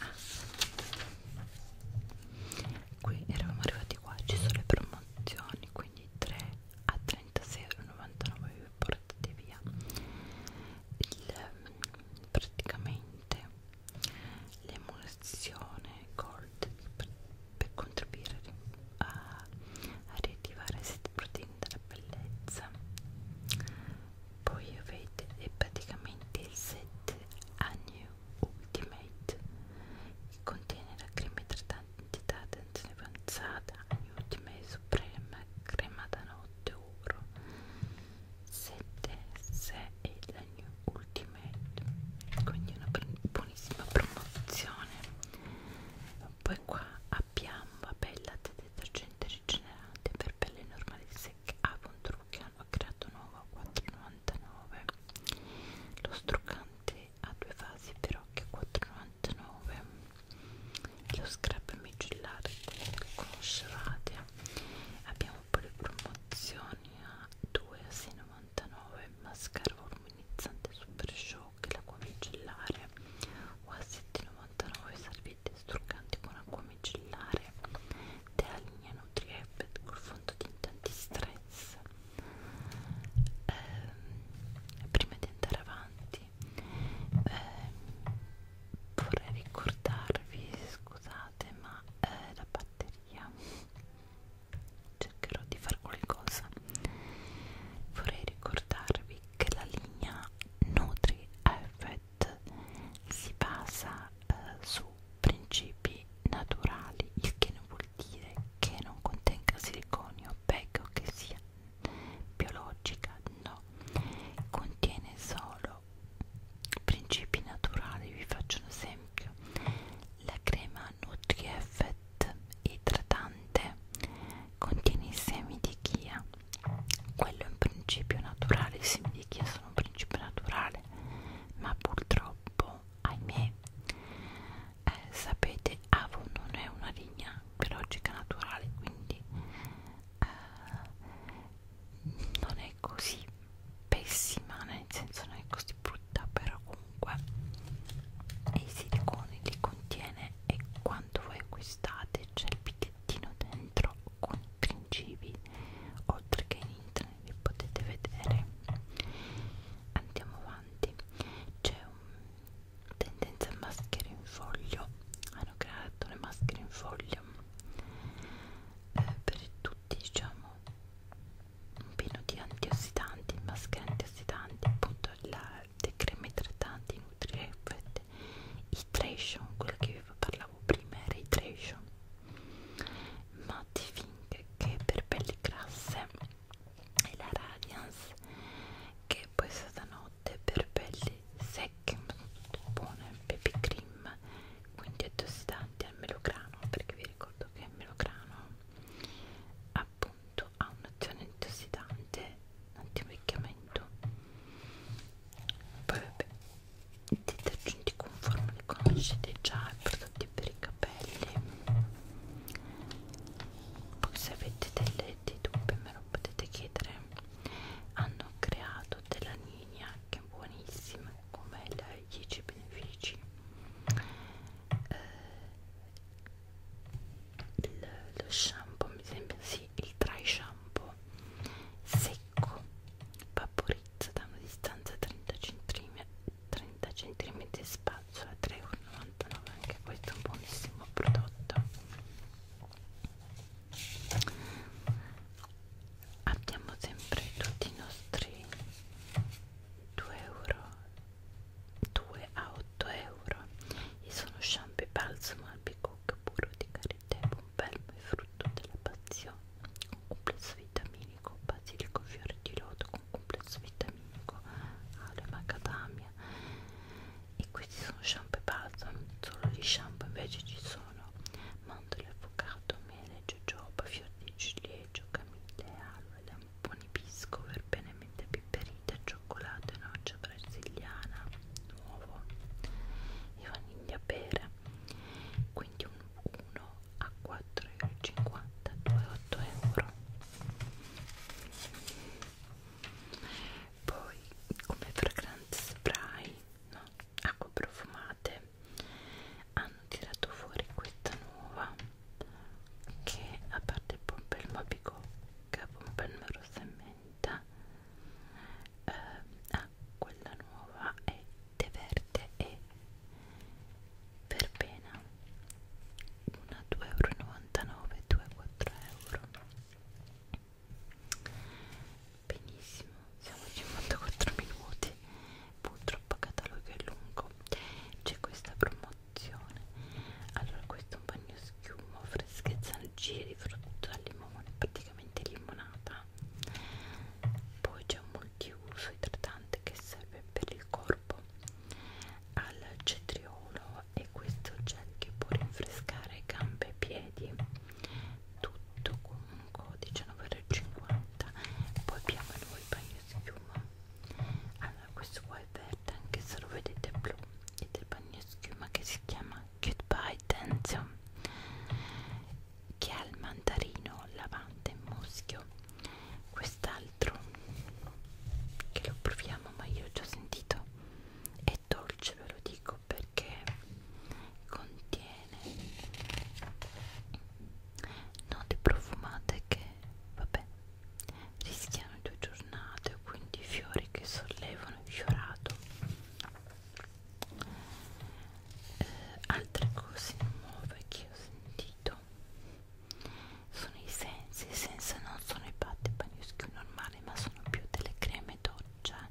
S1: ah. qui eravamo arrivati qua ci sono le promozioni quindi 3 a 36,99 vi portate via il, praticamente l'emulazione gold per, per contribuire a, a riattivare siti proteine della bellezza poi avete praticamente il set Agnew Ultimate che contiene la crema idratante tensione avanzata Agnew Ultimate Suprema crema da notte oro 7S e la New Ultimate quindi una buonissima promozione poi qua abbiamo appellate detergente rigenerante per pelle normali secche Avon ah, Trucchi hanno creato nuovo a 4,99 lo struccante a due fasi per occhi a 4,99 lo scrap micellare conoscevate abbiamo poi le promozioni a 2 a 6,99 mascara voluminizzante super show che l'acqua micellare o a 7,99 salvete struccanti con acqua micellare della linea Nutriebet col fondotinta antistress eh, prima di andare avanti eh, vorrei ricordarvi scusate ma eh, la batteria cercherò di fare qualcosa vorrei ricordarvi che la linea Nutri Tet si basa eh, su principi naturali, il che non vuol dire che non contenga siliconio, peggio che sia biologica, no, contiene solo principi naturali, vi faccio un esempio, la crema NutriEffet idratante contiene i semi di chia quello è un principio naturale i semi di chia sono un principio naturale ma purtroppo ahimè eh, sapete avo non è una linea biologica naturale quindi eh, non è così pessima nel senso non è così brutta però comunque e i siliconi li contiene e quando voi acquistate c'è il pezzettino dentro con i principi oltre che in internet li potete vedere andiamo avanti c'è una tendenza a maschere in foglio hanno creato le maschere in foglio eh, per tutti diciamo un pieno di antiossidanti maschere antiossidanti appunto la, dei creme idratanti nutrire niente iteration quello che vi parlavo prima era iteration matte Fink che è per pelli grasse e la radiance che è poi stata notte per pelli secche ma sono tutte buone pepe cream quindi antiossidanti al melograno perché vi ricordo che il melograno appunto ha un'azione antiossidanti anti-invecchiamento poi vabbè i detergenti con formule conoscete già i prodotti per i capelli poi se avete delle, dei dubbi me lo potete chiedere hanno creato della linea che è buonissima come la 10 benefici eh, il, lo shampoo mi sembra si Usi il dry shampoo secco, vaporizza da una distanza 30 cm, 30 cm di spazzola, 3,99 anche questo è un buonissimo prodotto. Abbiamo sempre tutti i nostri 2 euro 2 a 8 euro e sono shampoo balsamo albicook burro di carina tebo, un verme frutto della passione, con complesso vitaminico, basilico, fiore di loto, con complesso vitaminico, aloe macadamia. E questi sono shampoo e balsam, solo di shampoo invece ci sono mandorle, avocado, mele, jojoba, fior di ciliegio, camille, aloe, lamponi, pisco, verbenamente piperita, cioccolato, noce, brasiliana nuovo e vaniglia pera quindi un 1 a 4,50 2,8 euro poi come fragranze spray no? acqua profumate hanno tirato fuori questa nuova che a parte il pompelmo a bicocca pompelmo rossa e menta eh, ha quella nuova è tè verde e verbena una 2,99 euro 2,4 euro benissimo siamo a 54 minuti purtroppo catalogo è lungo c'è questa promozione allora questo è un bagno schiuma freschezza giri frutta al limone praticamente limonata poi c'è un multiuso idratante che serve per il corpo al cetriolo e questo gel che può rinfrescare gambe e piedi tutto con un codice 9,50 poi abbiamo noi il bagno schiuma allora questo qua è verde anche se lo vedete blu ed è il bagno schiuma che si chiama Goodbye Tenzio che ha il mandarino, lavante e muschio quest'altro che lo proviamo ma io ho già sentito è dolce ve lo dico perché contiene note profumate che vabbè rischiano due giornate quindi fiori che sollevano il fiorato eh, altre cose nuove che ho sentito sono i sensi i sensi non sono i patti panischi normali ma sono più delle creme doccia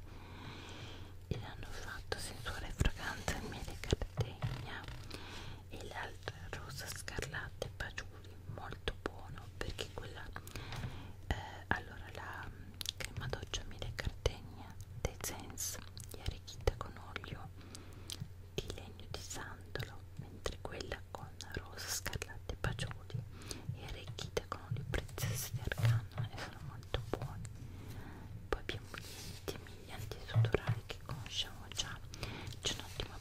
S1: e l'hanno fatto sensuale fragranza miele cardegna e l'altra rosa scarlatta e paciuli molto buono perché quella eh, allora la crema doccia mille cardegna Tezens è arricchita con olio di legno di sandalo mentre quella con rosa scarlatte e fagioli è arricchita con olio prezioso di argano e sono molto buoni poi abbiamo gli intimi antisudorali che conosciamo già c'è un'ottima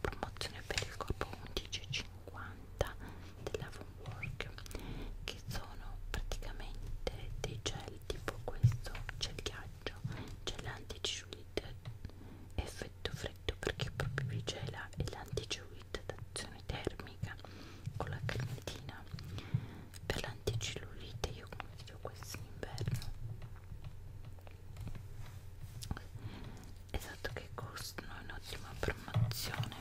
S1: promozione per il corpo 11,50 della Funwork che sono praticamente dei gel tipo questo gel ghiaccio gel anti-ciulite effetto freddo perché proprio vi gela e l'anti-ciulite d'azione termica con la cremetina per l'anticellulite io consiglio questo in inverno esatto che costano in ottima promozione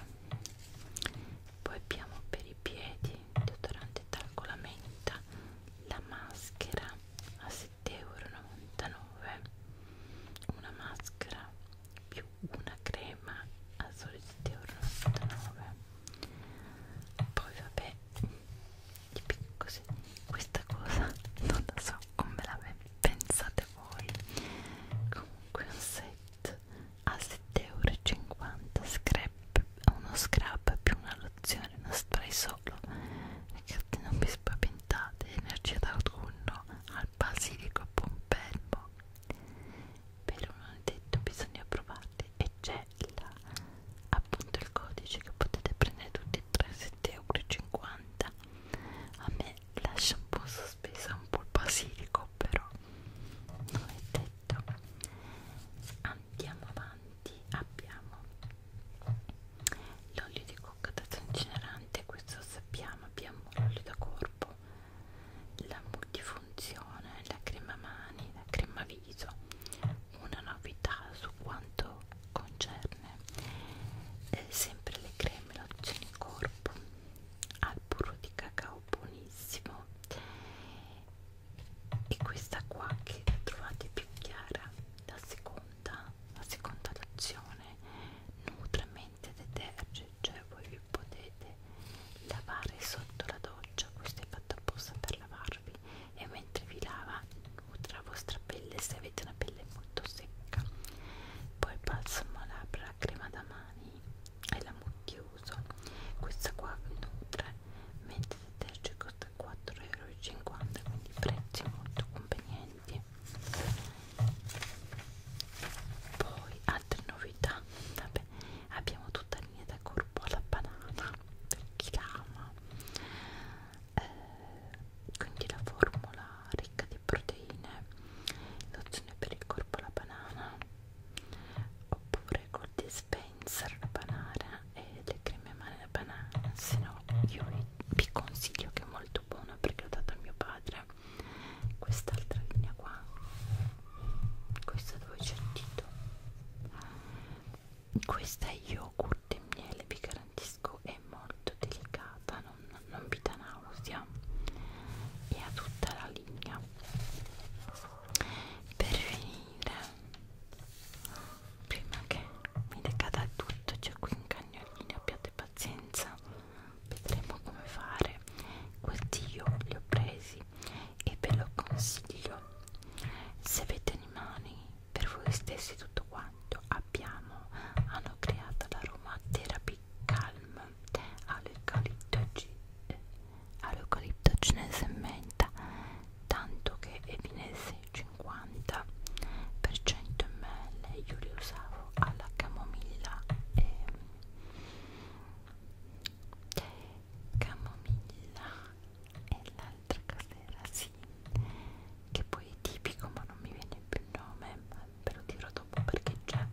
S1: poi abbiamo per i piedi il deodorante talco la menta la maschera a 7,99 euro una maschera più una crema a soli 7,99 euro poi vabbè così questa cosa non la so come la pensate voi comunque un set Cat a 7,50€ scrap, uno scrub più una lozione, uno spray solo ragazzi non vi spaventate energia d'autunno al basilico pompelmo per un detto bisogna provarli e c'è appunto il codice che potete prendere tutti e 3,7,50€ a me lascia un po' sospesa un po' il basilico però non è detto perfetto andiamo avanti abbiamo l'olio di cocca da generante questo lo sappiamo abbiamo l'olio da corpo la multifunzione la crema mani la crema viso una novità su quanto concerne eh, sempre le creme lozioni corpo al burro di cacao buonissimo e questa qua che la trovate più chiara la seconda la seconda azione nutramente detergent cioè voi vi potete lavare sotto la doccia questo è fatto apposta per lavarvi e mentre vi lava nutra la vostra pelle se avete una pelle molto secca poi balsamo labbra crema da mani e l'amo chiuso questa qua nutre mentre detergente costa 4,50 euro quindi prezzi molto convenienti poi altre novità vabbè abbiamo tutta la linea da corpo alla banana per chi l'ama eh, quindi la formula ricca di proteine lozione per il corpo alla banana oppure col dispenser la banana e le creme mani alla banana se no io vi consiglio che è molto buona perché l'ho data a mio padre quest'altra linea qua questa dove c'è il dito questa è yogurt e miele vi garantisco è molto delicata non, non vi dà nausea e ha tutta la la linea per finire prima che mi decada tutto c'è cioè qui un cagnolino abbiate pazienza vedremo come fare questi io li ho presi e ve lo consiglio se avete animali per voi stessi tutto quanto abbiamo hanno creato la Roma Therapy Calm a all'eucalipto cinese e menta tanto che evinesse 50% ml io li usavo alla camomilla e camomilla e l'altra cos'era sì che poi è tipico ma non mi viene più il nome ve lo dirò dopo perché c'è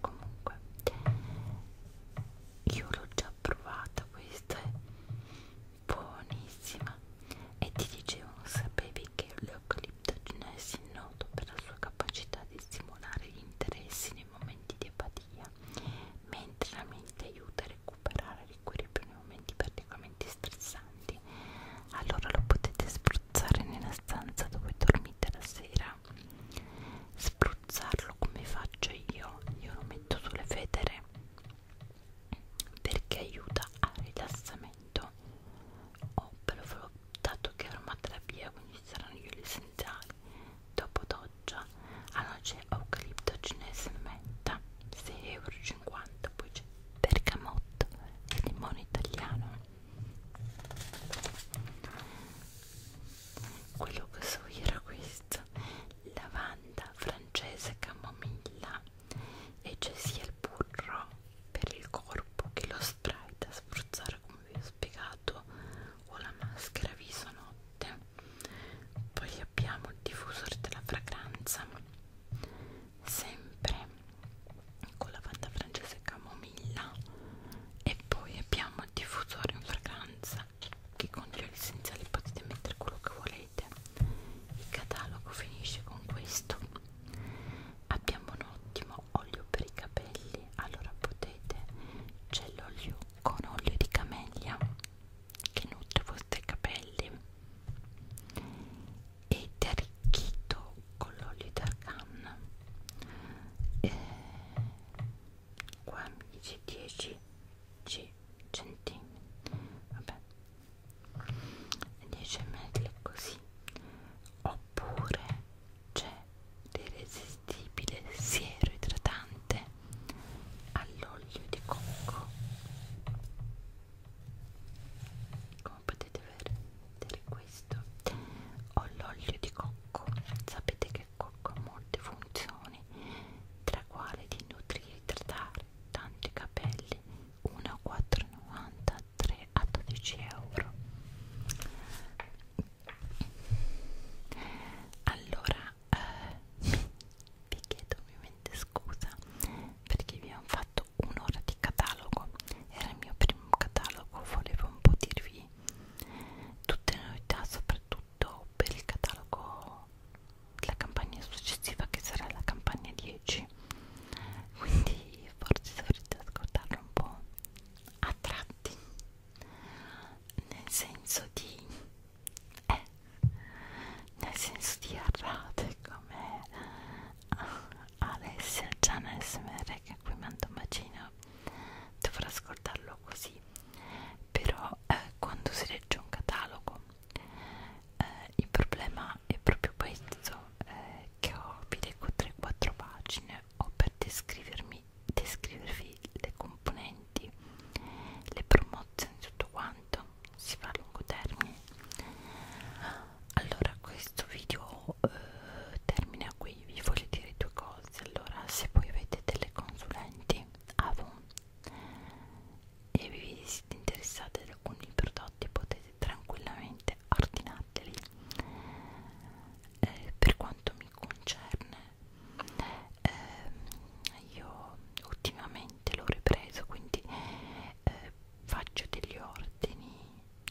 S1: comunque io l'ho già provata questa è buonissima e ti dicevano sapevi che l'eucaliptogenesi è noto per la sua capacità di stimolare gli interessi nei momenti di apatia mentre la mente aiuta a recuperare l'equilibrio nei momenti particolarmente stressanti allora lo potete spruzzare nella stanza dove dormite la sera terra spruzzarlo come faccio io io lo metto sulle federe perché aiuta al rilassamento oh, ve l'ho dato che è aromaterapia quindi ci saranno gli essenziali dopo doccia allora c'è eucalipto cinese menta 6,50€ poi c'è bergamotto e limone italiano quello che so io era questo lavanda francese camomilla e c'è sia il burro per il corpo che lo spray da spruzzare come vi ho spiegato o la maschera viso notte poi abbiamo il diffusore della fragranza sempre con lavanda francese camomilla e poi abbiamo il diffusore in fragranza che con gel essenziali potete mettere quello che volete il catalogo finisce con questo abbiamo un ottimo olio per i capelli allora potete c'è l'olio con olio di camellia che nutre i vostri capelli ed è arricchito con l'olio d'argan eh, 15 10 c centimetri vabbè 10 metri così oppure c'è l'irresistibile siero idratante all'olio di cocco come potete vedere questo ho l'olio di cocco sapete che cocco ha molte funzioni persone, tra quale di nutrire e trattare tanti capelli, 1,493 a 12 euro. Allora, eh, vi chiedo ovviamente scusa perché vi ho fatto un'ora di catalogo, era il mio primo catalogo, volevo un po' dirvi tutte le novità, soprattutto tutto per il catalogo la campagna successiva che sarà la campagna 10 quindi forse dovrete ascoltarlo un po' a tratti nel senso di eh, nel senso di arrate come Alessia Gianna SMR che a cui mando un bacino dovrò ascoltarlo così però eh, quando si legge un catalogo eh, il problema è proprio questo eh, che ho vi leggo 3-4 pagine o per descrivermi descrivervi le componenti le promozioni tutto quanto si fa a lungo termine allora questo video eh, termina qui vi voglio dire due cose allora se voi avete delle consulenti Avon e vi siete interessati ad alcuni prodotti potete tranquillamente ordinarli eh, per quanto mi concerne eh, io ultimamente l'ho ripreso quindi eh, faccio degli ordini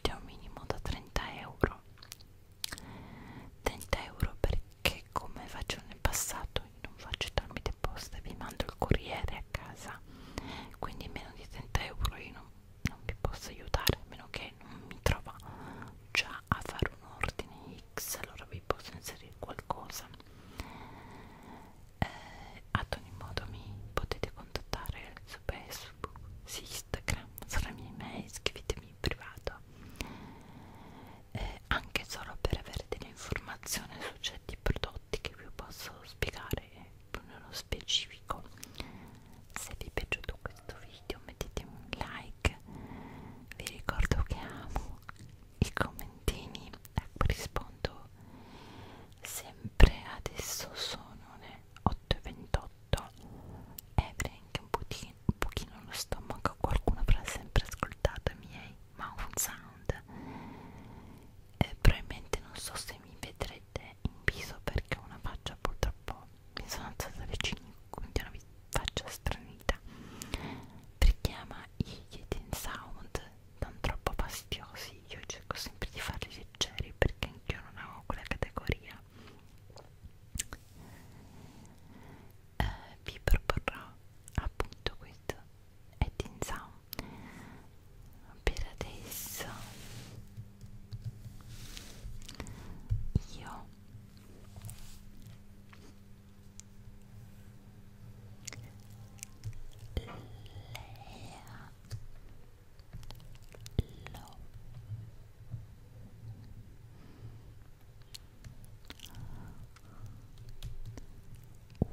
S1: di un minimo da 30 euro 30 euro perché come faccio nel passato io non faccio tramite posta vi mando il corriere a casa quindi meno di 30 euro io non, non vi posso aiutare a meno che non mi trova già a fare un ordine X allora vi posso inserire qualcosa eh, ad ogni modo mi potete contattare su Facebook, su Instagram, sulla mia email, scrivetemi in privato eh, anche solo per avere delle informazioni su certi prodotti che vi posso spiegare più nello specifico se vi è piaciuto questo video mettetemi un like vi ricordo che amo i commentini a ecco, cui rispondo sempre adesso sono le 8.28 e avrei anche un pochino che un pochino lo stomaco, qualcuno avrà sempre ascoltato i miei mouth sound. Eh, probabilmente non so se mi vedrete in viso perché ho una faccia purtroppo mi sono alzata alle 5, quindi ho una faccia stranita. Richiama i Yetin Sound non troppo fastidiosi, io cerco sempre di farli leggeri perché anch'io non avevo quella categoria eh, vi proporrò appunto questo Edding Sound per adesso io Lea lo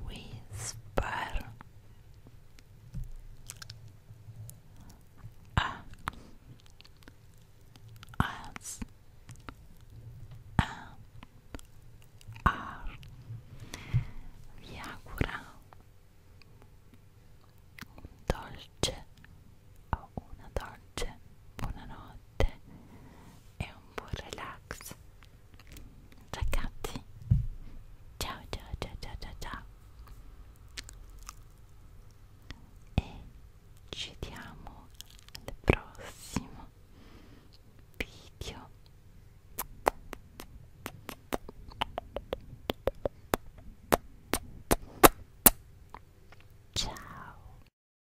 S1: Whisper A S A R Vi augura un dolce o una dolce buonanotte e un buon relax ragazzi ciao ciao ciao ciao ciao ciao e ci vediamo al prossimo video ciao